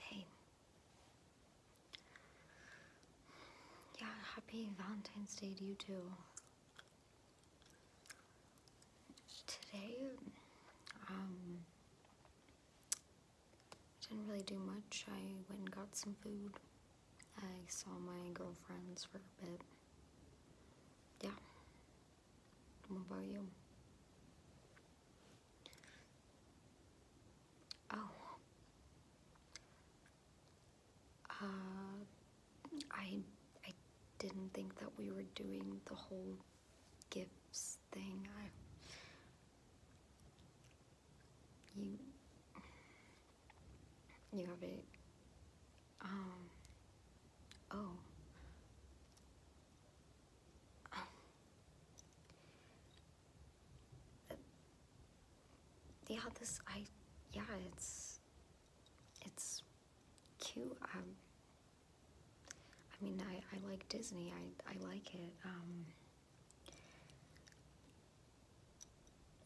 Hey. Yeah, happy Valentine's Day to you too. Today, um, didn't really do much. I went and got some food. I saw my girlfriends for a bit. Yeah. What about you? Oh. Uh, I I didn't think that we were doing the whole gifts thing. I you you have a. Um. Oh. Um, yeah, this, I, yeah, it's, it's cute. Um, I mean, I, I like Disney. I, I like it. Um,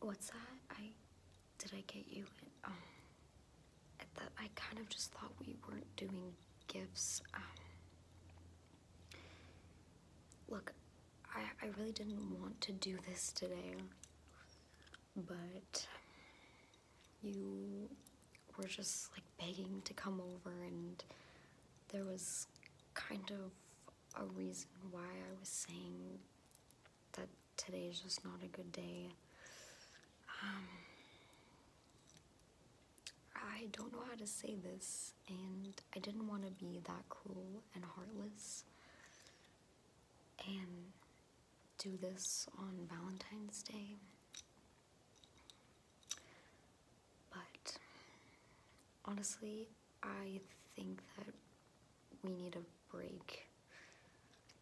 what's that? I, did I get you? Um, I kind of just thought we weren't doing gifts. Um, look, I, I really didn't want to do this today, but you were just like begging to come over and there was kind of a reason why I was saying that today is just not a good day. Um, I don't know how to say this, and I didn't want to be that cruel and heartless and do this on Valentine's Day. But honestly, I think that we need a break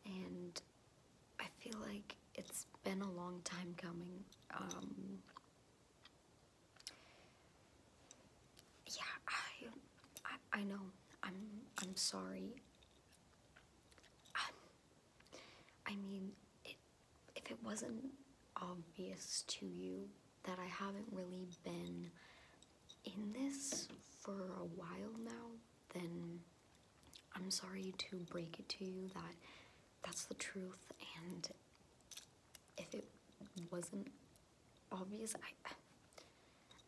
and I feel like it's been a long time coming. Um, yeah, I, I, know. I'm, I'm sorry. Um, I mean, if it wasn't obvious to you that I haven't really been in this for a while now, then I'm sorry to break it to you that that's the truth, and if it wasn't obvious, I,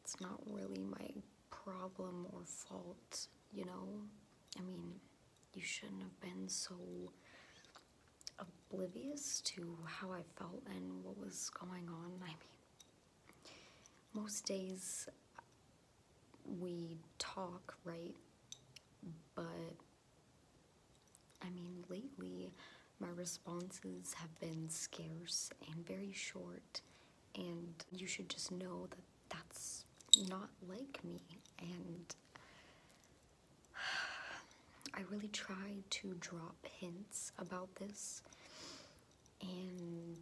it's not really my problem or fault, you know? I mean, you shouldn't have been so oblivious to how I felt and what was going on. I mean, most days we talk, right? But I mean, lately my responses have been scarce and very short, and you should just know that that's not like me. And I really tried to drop hints about this, and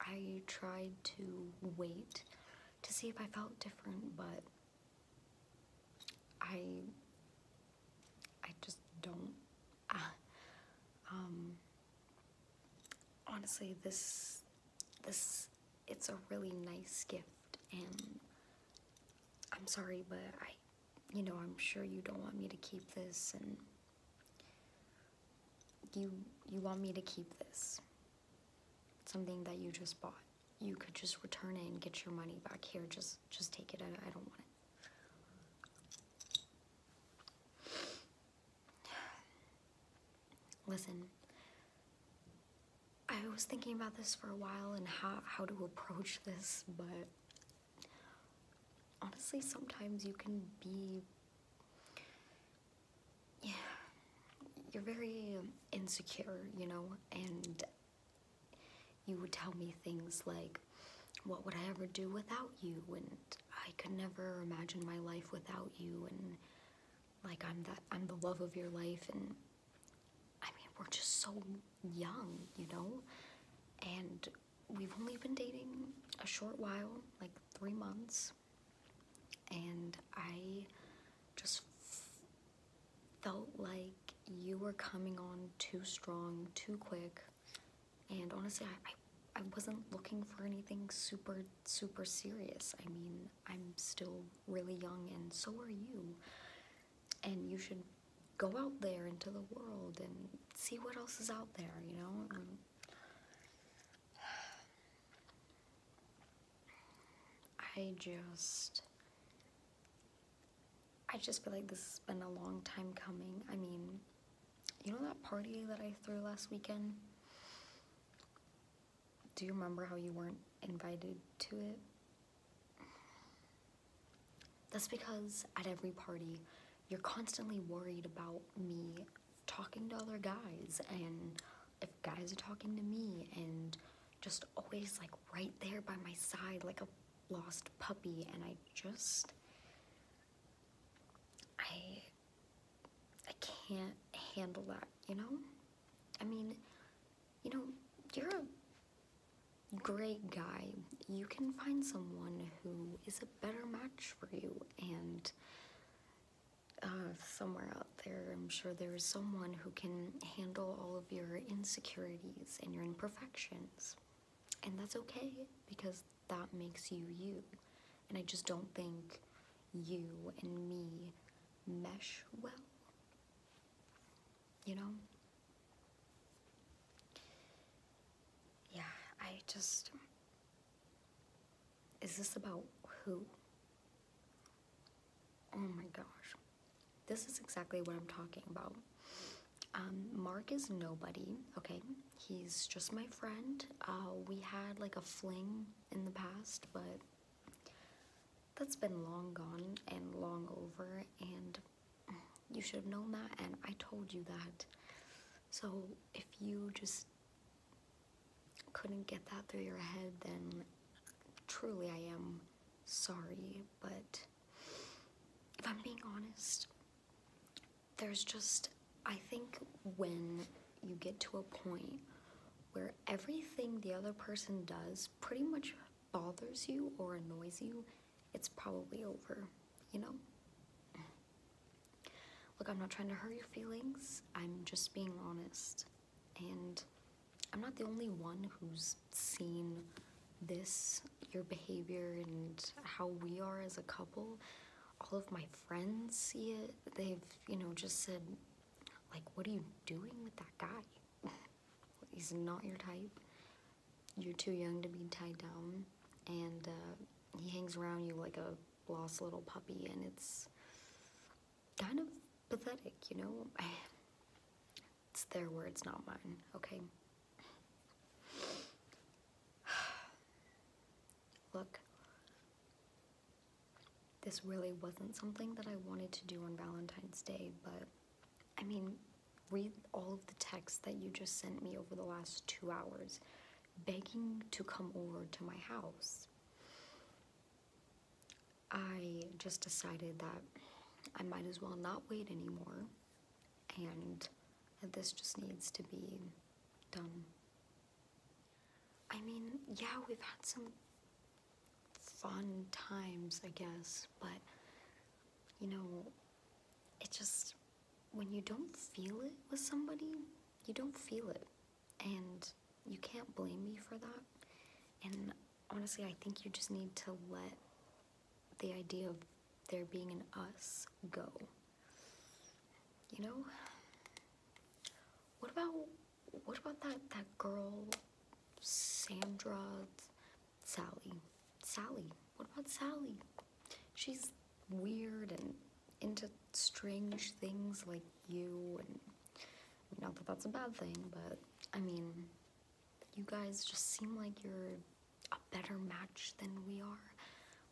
I tried to wait to see if I felt different, but I I just don't. Um, honestly, this this it's a really nice gift, and I'm sorry, but I, you know, I'm sure you don't want me to keep this, and you you want me to keep this something that you just bought you could just return it and get your money back here just just take it i, don't want it listen i was thinking about this for a while and how, how to approach this but honestly, sometimes you can be. Yeah. You're very um, insecure, you know, and you would tell me things like, What would I ever do without you? And I could never imagine my life without you. And like, I'm that, I'm the love of your life. And I mean, we're just so young, you know? And we've only been dating a short while, like three months, and I just felt like you were coming on too strong, too quick, and honestly, I, I, wasn't looking for anything super, super serious. I mean, I'm still really young, and so are you, and you should go out there into the world and see what else is out there, you know? I just. I just feel like this has been a long time coming. I mean, you know that party that I threw last weekend? Do you remember how you weren't invited to it? That's because at every party, you're constantly worried about me talking to other guys and if guys are talking to me and just always like right there by my side like a lost puppy and I just I I can't handle that, you know? I mean, you know, you're a great guy, you can find someone who is a better match for you. And uh, somewhere out there, I'm sure there is someone who can handle all of your insecurities and your imperfections. And that's okay because that makes you you. And I just don't think you and me mesh well. You know? Yeah, I just. Is this about who? Oh my gosh. This is exactly what I'm talking about. Um, Mark is nobody, okay? He's just my friend. Uh, we had like a fling in the past, but that's been long gone and long over, and you should have known that, and I told you that. So if you just couldn't get that through your head, then truly I am sorry. But if I'm being honest, there's just, I think when you get to a point where everything the other person does pretty much bothers you or annoys you, it's probably over, you know? Look, I'm not trying to hurt your feelings. I'm just being honest. And I'm not the only one who's seen this, your behavior, and how we are as a couple. All of my friends see it. They've, you know, just said, like, what are you doing with that guy? He's not your type you're too young to be tied down, and uh, he hangs around you like a lost little puppy, and it's kind of pathetic, you know? It's their words, not mine, okay? Look, this really wasn't something that I wanted to do on Valentine's Day, but I mean, read all of the texts that you just sent me over the last two hours, begging to come over to my house. I just decided that I might as well not wait anymore, and this just needs to be done. I mean, yeah, we've had some fun times, I guess, but you know, it just, when you don't feel it with somebody, you don't feel it. And you can't blame me for that. And honestly, I think you just need to let the idea of there being an us go. You know? What about what about that that girl Sandra Sally. Sally. What about Sally? She's weird and into strange things like you not that that's a bad thing, but I mean, you guys just seem like you're a better match than we are.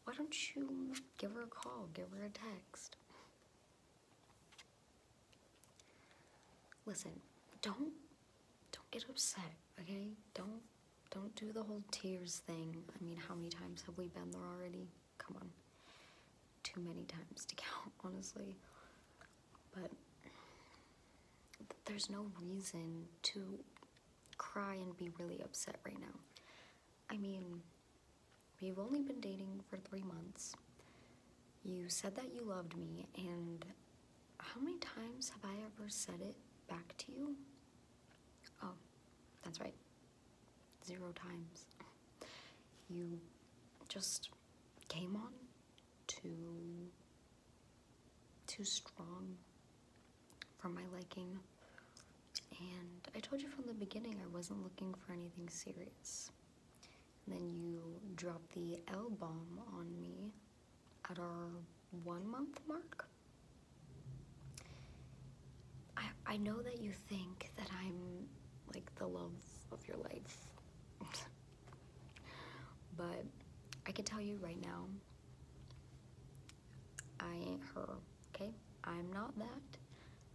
Why don't you give her a call, give her a text? Listen, don't don't get upset, okay? Don't don't do the whole tears thing. I mean, how many times have we been there already? Come on. Too many times to count, honestly. But there's no reason to cry and be really upset right now. I mean, we've only been dating for three months. You said that you loved me, and how many times have I ever said it back to you? Oh, that's right. Zero times. You just came on too, too strong for my liking. And I told you from the beginning I wasn't looking for anything serious. And then you drop the L bomb on me at our one month mark. I, I know that you think that I'm like the love of your life. but I can tell you right now, I ain't her, okay? I'm not that.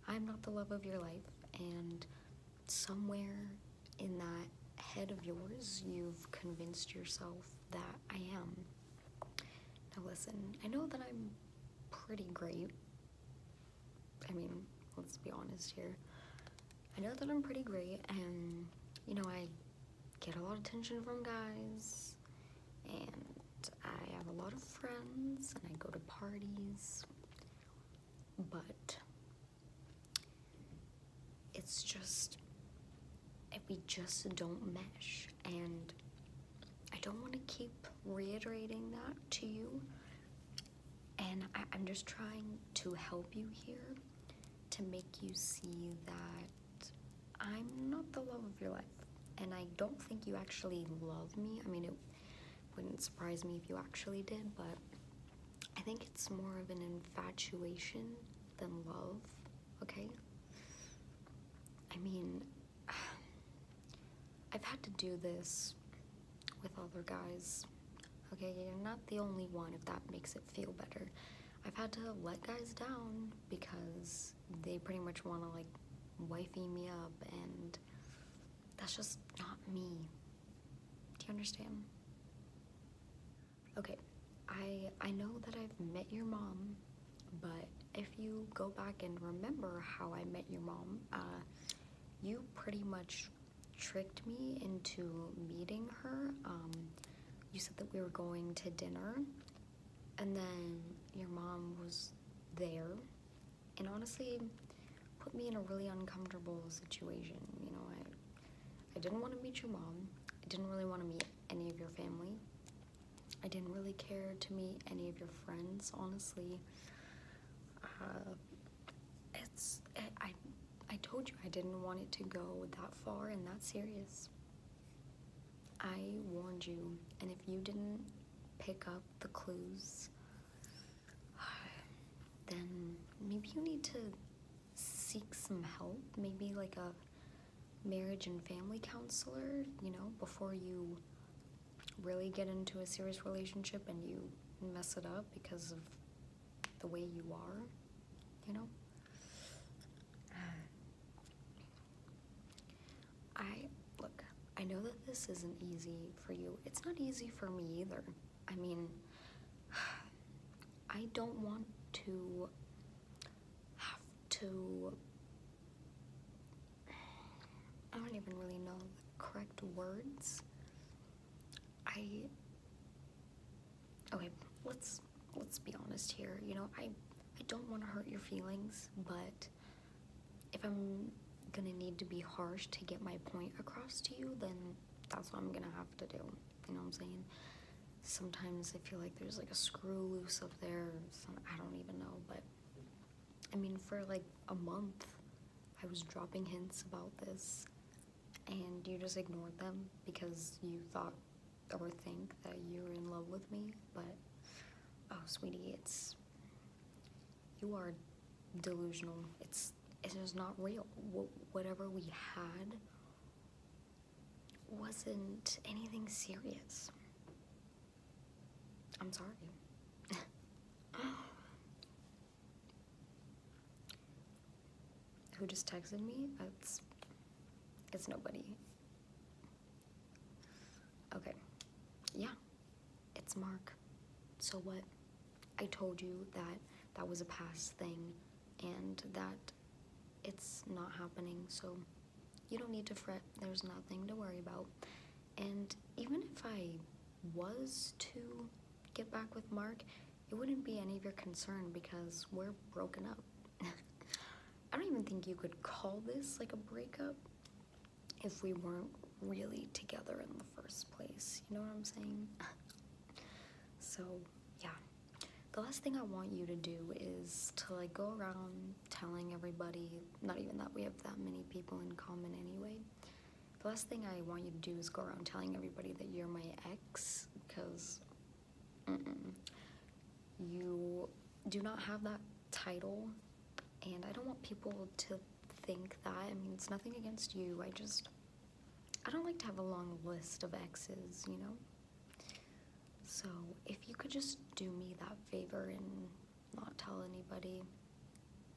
I'm not the love of your life, and somewhere in that head of yours, you've convinced yourself that I am. Now, listen, I know that I'm pretty great. I mean, let's be honest here. I know that I'm pretty great, and you know, I get a lot of attention from guys, and I have a lot of friends, and I go to parties, but it's just, we just don't mesh. And I don't want to keep reiterating that to you. And I, am just trying to help you here to make you see that I'm not the love of your life. And I don't think you actually love me. I mean, it wouldn't surprise me if you actually did, but I think it's more of an infatuation than love, okay? I mean, I've had to do this with other guys, okay? you're not the only one, if that makes it feel better. I've had to let guys down because they pretty much want to, like, wifey me up, and that's just not me, do you understand? Okay, I I know that I've met your mom, but if you go back and remember how I met your mom, uh, you pretty much tricked me into meeting her. Um, you said that we were going to dinner, and then your mom was there, and honestly put me in a really uncomfortable situation. You know, I I didn't want to meet your mom. I didn't really want to meet any of your family. I didn't really care to meet any of your friends, honestly. Uh, it's I I told you I didn't want it to go that far and that serious. I warned you, and if you didn't pick up the clues, then maybe you need to seek some help. Maybe like a marriage and family counselor, you know, before you really get into a serious relationship and you mess it up because of the way you are, you know? I, look, I know that this isn't easy for you. It's not easy for me either. I mean, I don't want to have to. I don't even really know the correct words. I. Okay, let's let's be honest here. You know, I I don't want to hurt your feelings, but if I'm gonna need to be harsh to get my point across to you, then that's what I'm gonna have to do. You know what I'm saying? Sometimes I feel like there's like a screw loose up there. I don't even know, but I mean, for like a month, I was dropping hints about this, and you just ignored them because you thought or think that you were in love with me, but oh, sweetie, it's you are delusional. It's it is not real. whatever we had wasn't anything serious. I'm sorry. Who just texted me? That's it's nobody. Okay. Yeah. It's Mark. So what? I told you that that was a past thing and that it's not happening, so you don't need to fret. There's nothing to worry about. And even if I was to get back with Mark, it wouldn't be any of your concern because we're broken up. I don't even think you could call this like a breakup if we weren't really together in the first place. You know what I'm saying? so, yeah. The last thing I want you to do is to like go around telling everybody, not even that we have that many people in common anyway. The last thing I want you to do is go around telling everybody that you're my ex because you do not have that title and I don't want people to think that. I mean, it's nothing against you. I just, I don't like to have a long list of exes, you know? So if you could just do me that favor and not tell anybody,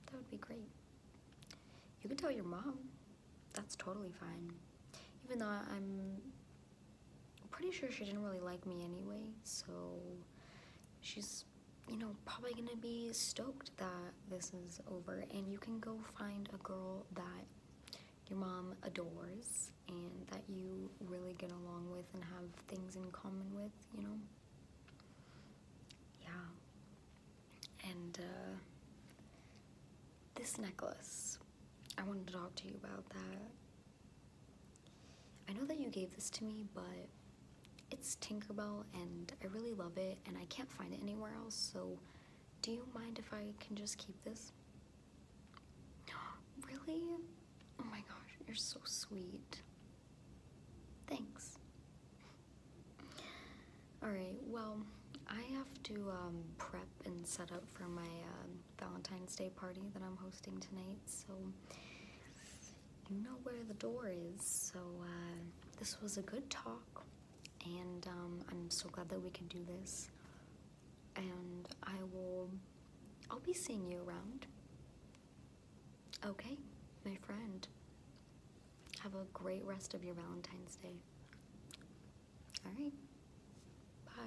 that would be great. You could tell your mom. That's totally fine. Even though I'm pretty sure she didn't really like me anyway, so she's you know, probably gonna be stoked that this is over and you can go find a girl that your mom adores and that you really get along with and have things in common with, you know? Yeah. And uh, this necklace, I wanted to talk to you about that. I know that you gave this to me, but it's Tinkerbell and I really love it and I can't find it anywhere else, so do you mind if I can just keep this? Really? Oh my gosh, you're so sweet. Thanks. Alright, well, I have to um, prep and set up for my um, Valentine's Day party that I'm hosting tonight, so you know where the door is. So uh, this was a good talk, and um, I'm so glad that we can do this. And I will, I'll be seeing you around. Okay, my friend. Have a great rest of your Valentine's Day. All right. Bye.